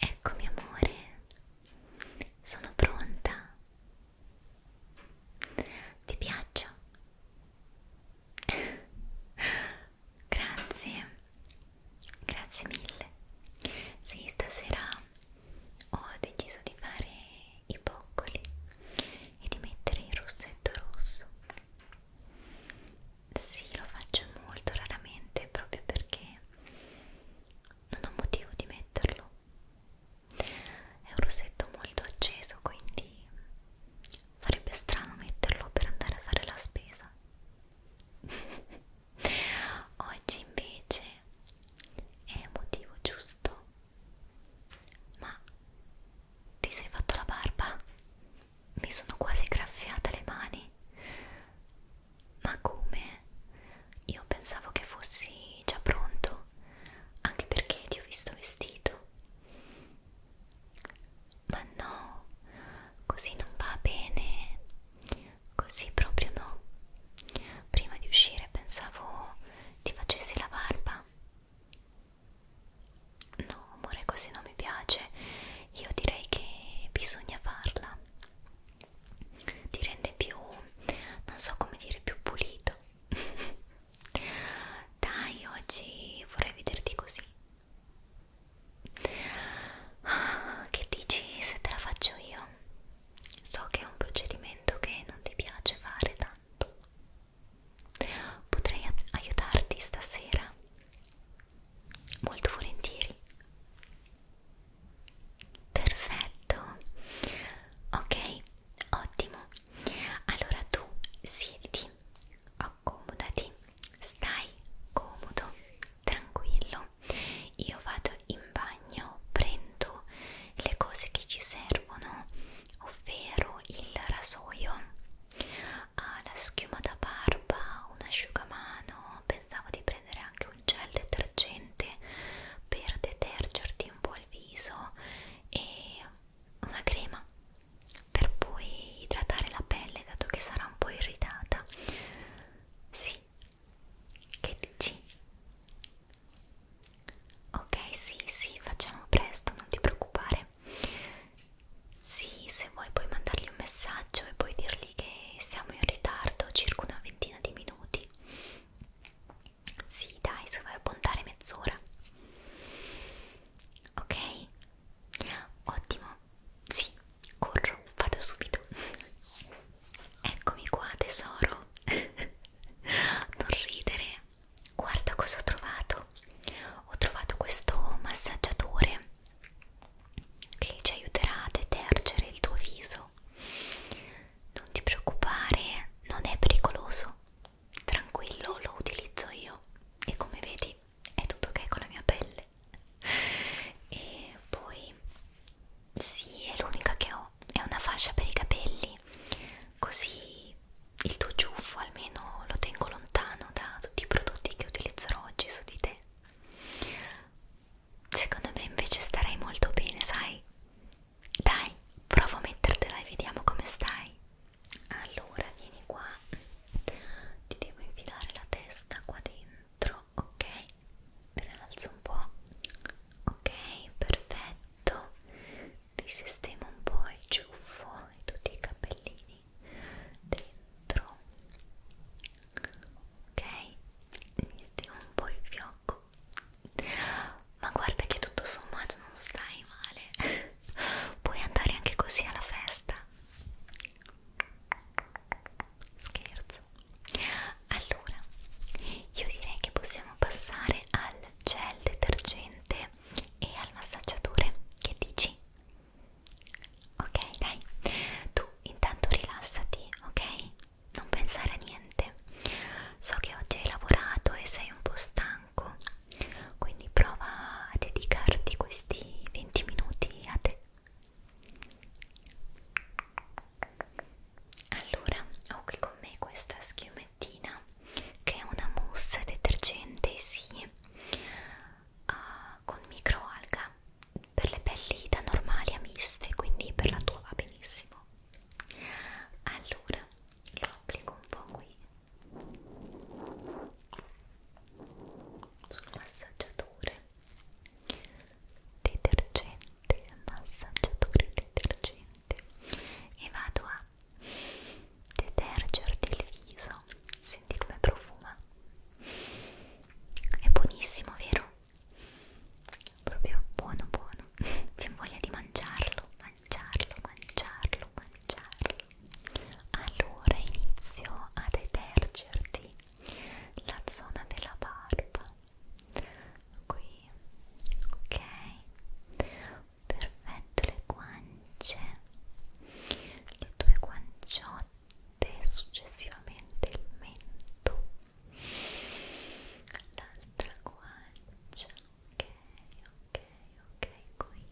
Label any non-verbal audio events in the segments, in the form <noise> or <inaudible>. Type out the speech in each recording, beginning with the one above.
Eccomi amore, sono pronta. Ti piaccio? <laughs> Grazie, grazie mille. Sì, stasera ho deciso di fare i boccoli e di mettere il rossetto rosso. Sì, lo faccio molto raramente proprio perché non ho motivo di metterlo. È un rossetto molto acceso, quindi farebbe strano metterlo per andare a fare la spesa. <laughs> Oggi invece è motivo giusto. Ma ti sei fatto la barba? mi sono quasi graffiata le mani. Ma come? Io pensavo che fossi già pronto, anche perché ti ho visto vestito. Ma no, così non va bene, così proprio no. Prima di uscire pensavo ti facessi la barba. No, amore, così non mi piace. Io direi che bisogna farla. Ti rende più, non so come dire, più pulito. <laughs> Dai, oggi vorrei vederti così. Ah, che dici se te la faccio io? So che è un procedimento che non ti piace fare tanto. Potrei aiutarti stasera Molto volentieri. Perfetto. Ok, ottimo. Allora tu siediti, accomodati, stai comodo, tranquillo. Io vado in bagno, prendo le cose che ci servono, ovvero il rasoio ha la schiuma da barba, un asciugamano, pensavo di prendere anche un gel detergente per detergerti un po' il viso e una crema per poi idratare la pelle dato che sarà un po' irritata. Sì, che dici? Ok, sì, sì, facciamo presto, non ti preoccupare. Sì, se vuoi puoi mandargli un messaggio e puoi dirgli che siamo in ritardo circa una ventina di minuti. Sì, dai, se vuoi appuntare mezz'ora. Ok? Ottimo. Sì, corro, vado subito. Eccomi qua, tesoro. <laughs> non ridere. Guarda cosa ho trovato ho trovato questo massaggiatore che ci aiuterà a detergere il tuo viso non ti preoccupare non è pericoloso tranquillo lo utilizzo io e come vedi è tutto ok con la mia pelle e poi sì è l'unica che ho è una fascia per i capelli così il tuo ciuffo almeno lo tengo lontano da tutti i prodotti che utilizzerò oggi su di te. Secondo me invece starai molto bene, sai? Dai, prova a mettertela e vediamo come stai. Allora, vieni qua. Ti devo infilare la testa qua dentro, ok? Me la alzo un po'. Ok, perfetto. Ti sistemo un po' il ciuffo e tutti i capellini dentro ok metti un po' il fiocco ma guarda che tutto sommato non stai male puoi andare anche così alla festa scherzo allora io direi che possiamo passare al gel detergente e al massaggiatore che dici Ok, dai, tu intanto rilassati, ok? Non pensare a niente. So che oggi hai lavorato e sei un po' stanco, quindi prova a dedicarti questi 20 minuti a te. Allora, ho qui con me questa schiumettina che è una mousse detergente sì uh, con microalga per le pelli da normali a miste quindi per la tua va benissimo allora lo applico un po' qui sul massaggiatore detergente massaggiatore detergente e vado a profuma detergerti il viso senti come profuma è buonissimo vero? proprio buono buono vi voglia di mangiarlo mangiarlo mangiarlo mangiarlo allora inizio a detergerti la zona della barba qui ok perfetto le guance le tue guanciotte successivamente il mento l'altra guancia ok ok ok qui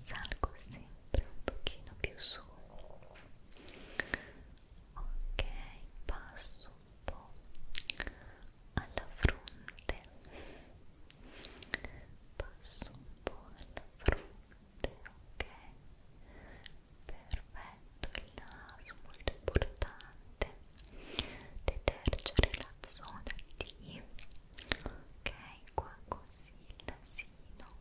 salgo sempre un pochino più su ok passo un po' alla fronte passo un po' alla fronte, ok? Perfetto, il naso molto importante, detergere la zona D, ok? Qua così il nasino,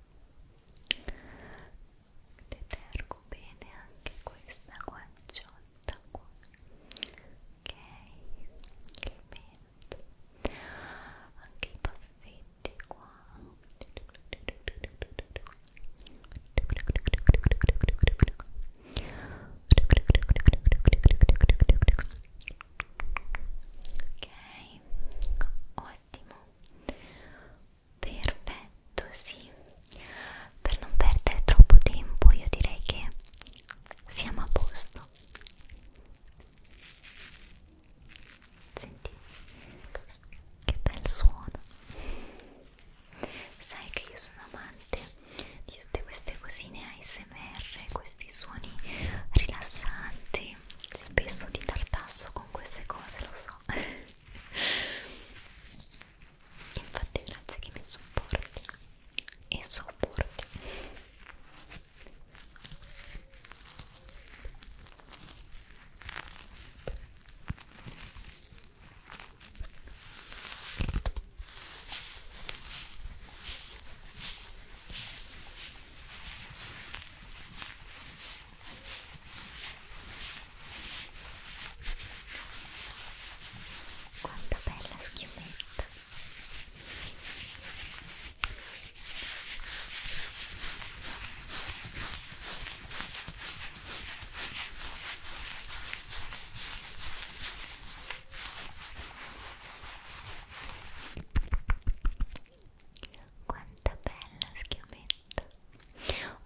detergo bene anche questa guanciona sta qua ok il mento anche i baffetti qua ok ottimo perfetto sì per non perdere troppo tempo io direi che siamo a posto senti che bel suono sai che io sono amante di tutte queste cosine ASMR questi suoni rilassanti spesso di tartasso con queste cose lo so infatti grazie che mi supporti e sopporti quanta bella schiumetta! Quanta bella schiumetta!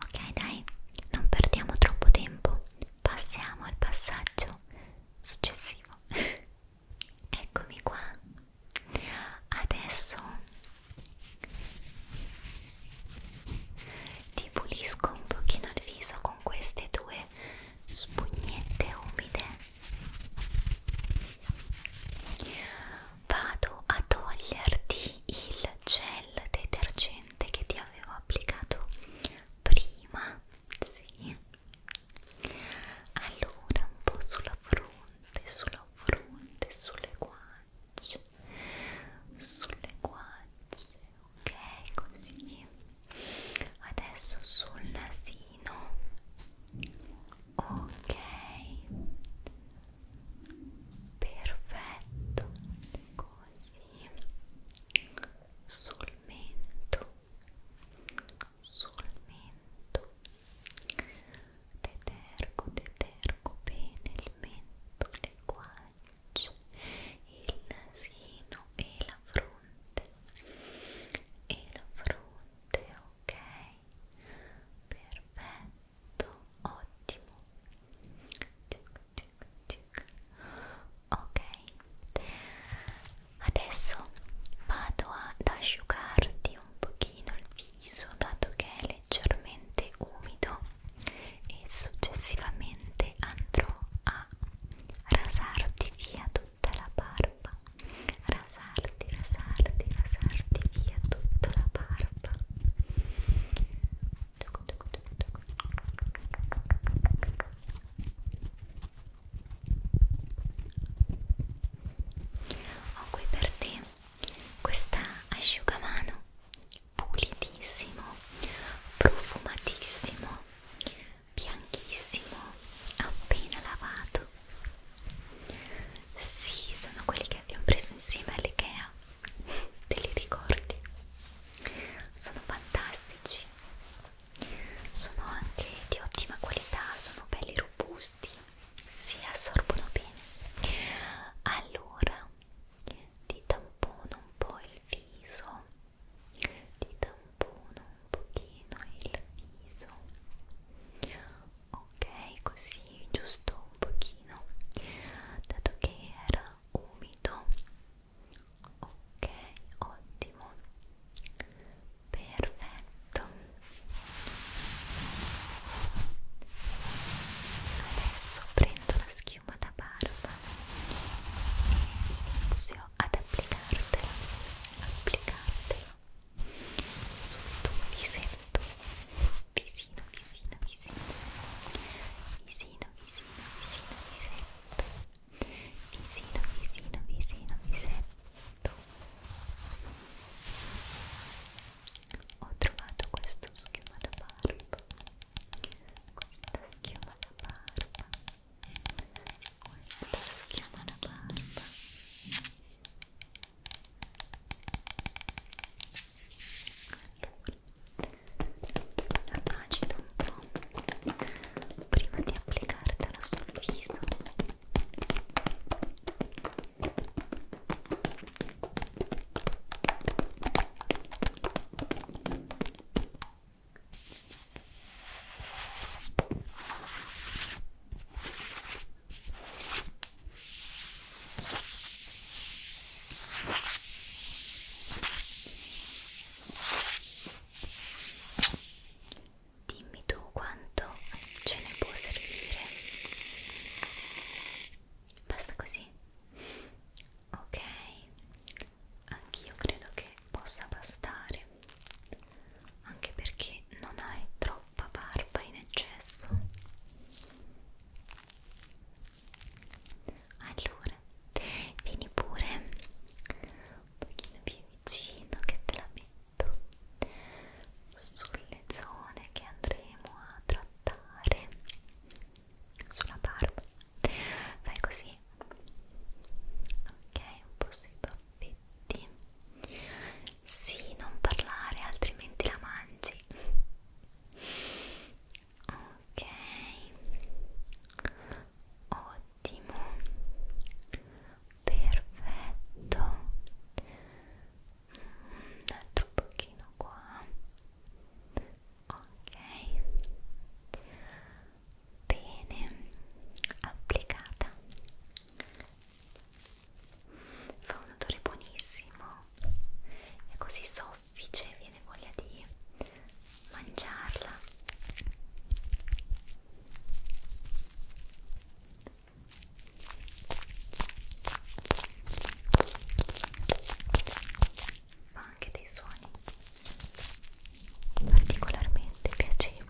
Ok, dai, non perdiamo troppo tempo passiamo al passaggio successivo <laughs> eccomi qua adesso ti pulisco un pochino il viso con queste due spugnette umide vado a toglierti il gel detergente che ti avevo applicato prima, sì. Allora, un po' sulla fronte, sulla fronte, sulle guance, sulle guance, ok, così. Adesso sul nasino, ok, perfetto, così sul mento sul mento detergo detergo bene il mento le guance il nasino e la fronte e la fronte ok perfetto ottimo tic, tic. ok adesso vado ad asciugarti un pochino il viso dato che è leggermente umido e successivamente andrò a rasarti via tutta la barba rasarti rasarti rasarti via tutta la barba ho qui per te questa asciugamano pulitissimo, profumatissimo, bianchissimo, appena lavato. Sì, sono quelli che abbiamo preso insieme all'IKEA te li ricordi sono fantastici sono anche di ottima qualità sono belli robusti si assorbono bene allora ti tampono un po' il viso ti tampono un pochino il viso ok così giusto un pochino dato che era umido ok ottimo perfetto adesso prendo la schiuma da barba e inizio ad applicartela applicartela sul tuo visetto visino visino visino visino visino, visino, visino, visetto ho trovato questo schiuma da barba questa schiuma da barba questa schiuma da barba allora la agito un po' prima di applicartela sul viso Dimmi tu quanto ce ne può servire. Basta così. Ok, anch'io credo che possa bastare, anche perché non hai troppa barba in eccesso allora vieni pure un pochino più vicino che te la metto sulle zone che andremo a trattare sulla barba fai così ok un po' sui baffetti sì non parlare altrimenti la mangi ok ottimo perfetto mm, un altro pochino qua ok bene applicata fa un odore buonissimo è così soffice soffice e viene voglia di mangiarla fa anche dei suoni particolarmente piacevoli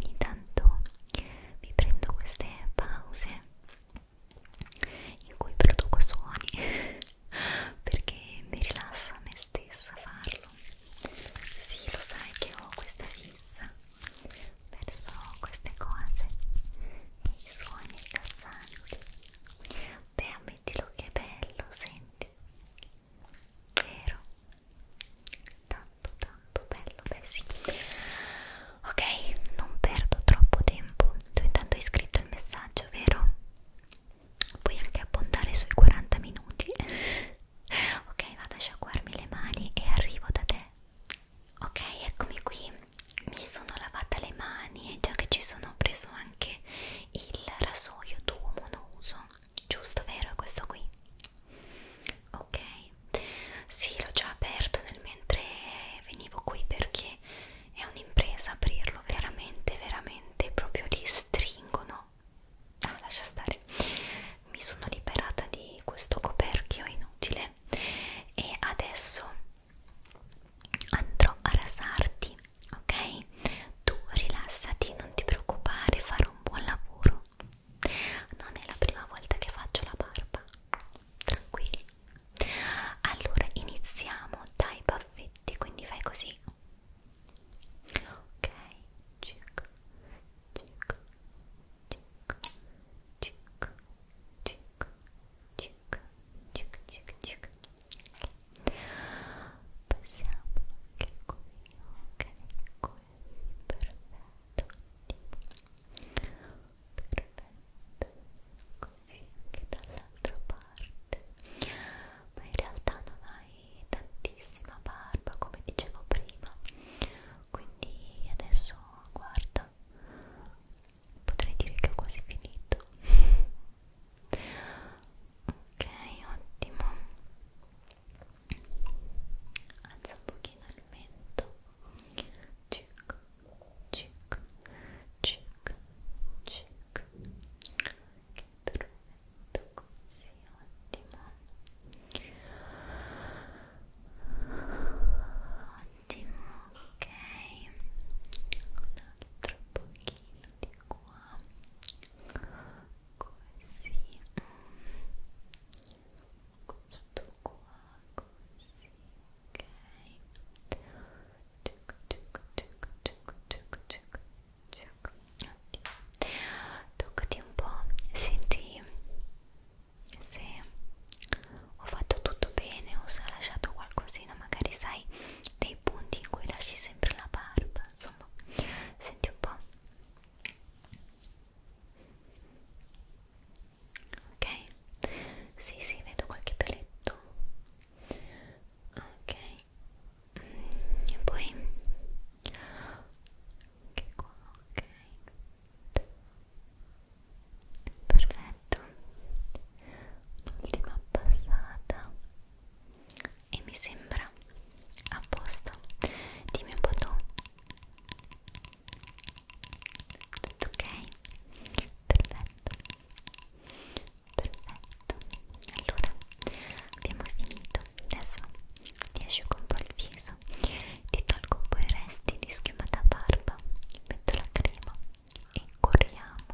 ogni tanto mi prendo queste pause in cui produco suoni <laughs> perché mi rilassa me stessa farlo sì lo sai che ho questa fissa verso queste cose e i suoni rilassanti beh ammettilo che è bello senti vero tanto tanto bello beh sì ok non perdo troppo tempo tu intanto hai scritto il messaggio vero puoi anche abbondare sui 40 minuti <laughs> ok vado a sciacquarmi le mani e arrivo da te ok eccomi qui mi sono lavata le mani e già che ci sono ho preso anche il rasoio d'uomo non uso giusto vero? È questo qui? Ok, sì, l'ho già aperto nel mentre venivo qui perché è un'impresa aprirlo, veramente, veramente, proprio li stringono. Ah, lascia stare. Mi sono liberata di questo coperchio inutile e adesso andrò a rasarti, ok? tu rilassati, non ti preoccupare, farò un buon lavoro. Non è la prima volta che faccio la barba, tranquilli. Allora iniziamo dai baffetti, quindi fai così. Ok, circa, circa, circa, circa, circa, circa, circa, circa. Passiamo anche qui Ok, così, perfetto. Perfetto, così anche dall'altra parte. Ma in realtà non hai tantissima barba, come dicevo prima. Quindi adesso guarda, potrei dire che ho quasi finito. <laughs> Ok, ottimo alza un pochino il mento cic cic cic cic che perfetto così ottimo ottimo ok un altro pochino di qua così questo qua così ok ciuc, ciuc, ciuc, ciuc, ciuc, ciuc, ciuc. Oddio. toccati un po' senti se ho fatto tutto bene o se ho lasciato qualcosina magari sai dei punti in cui lasci sempre la barba su insomma senti un po' ok sì sì vedo qualche peletto ok mm, e poi anche qua ok perfetto un'ultima passata e mi sembra a posto dimmi un po' tu tutto ok? perfetto perfetto allora abbiamo finito adesso ti asciugo un po' il viso ti tolgo un po' i resti di schiuma da barba metto la crema e corriamo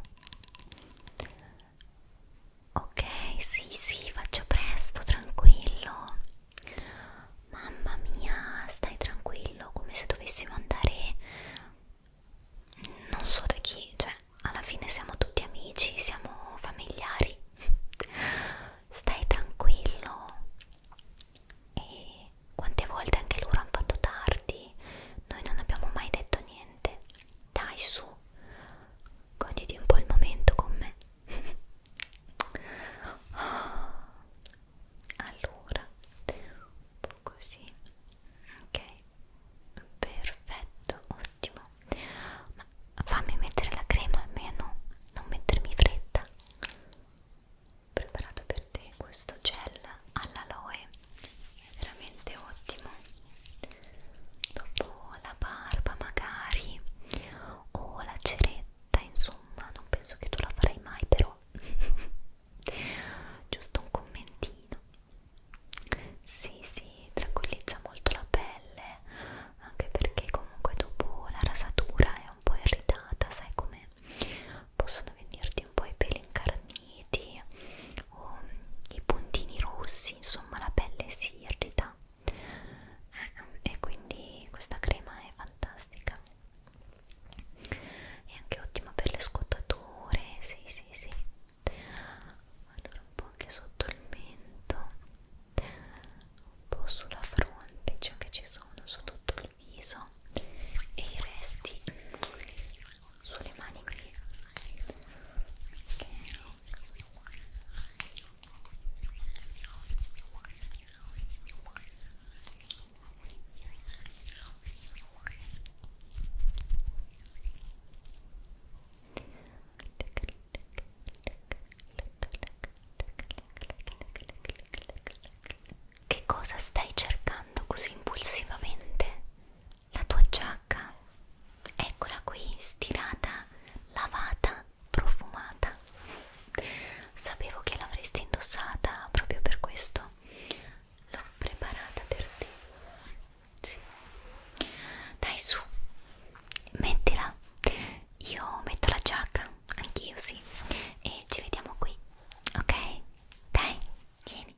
Ok, sì, sì, faccio presto, tranquillo. Mamma mia, stai tranquillo, come se dovessimo andare... Non so da chi, cioè, alla fine siamo tutti amici, siamo familiari. Stai tranquillo. E quante volte anche loro hanno fatto tardi, noi non abbiamo mai detto niente. Dai su, goditi un po' il momento con me. <gasps> Allora, un po' così. Ok, perfetto, ottimo. Ma fammi mettere la crema almeno, non mettermi fretta. Preparato per te questo gel all'aloe è veramente ottimo dopo la barba magari o la ceretta insomma non penso che tu la farai mai però <laughs> giusto un commentino sì sì tranquillizza molto la pelle anche perché comunque dopo la rasatura è un po' irritata sai come possono venirti un po' i peli incarniti o i puntini rossi, insomma la pelle si irrita eh, e quindi questa crema è fantastica è anche ottima per le scottature sì sì sì allora un po' anche sotto il mento un po' sulla fronte ciò cioè che ci sono su tutto il viso e i resti sulle mani qui ok che cosa stai cercando così impulsivamente? la tua giacca, eccola qui, stirata, lavata, profumata. Sapevo che l'avresti indossata proprio per questo. L'ho preparata per te. Sì. Dai su, mettila. Io metto la giacca, anch'io sì. E ci vediamo qui, ok? Dai, vieni.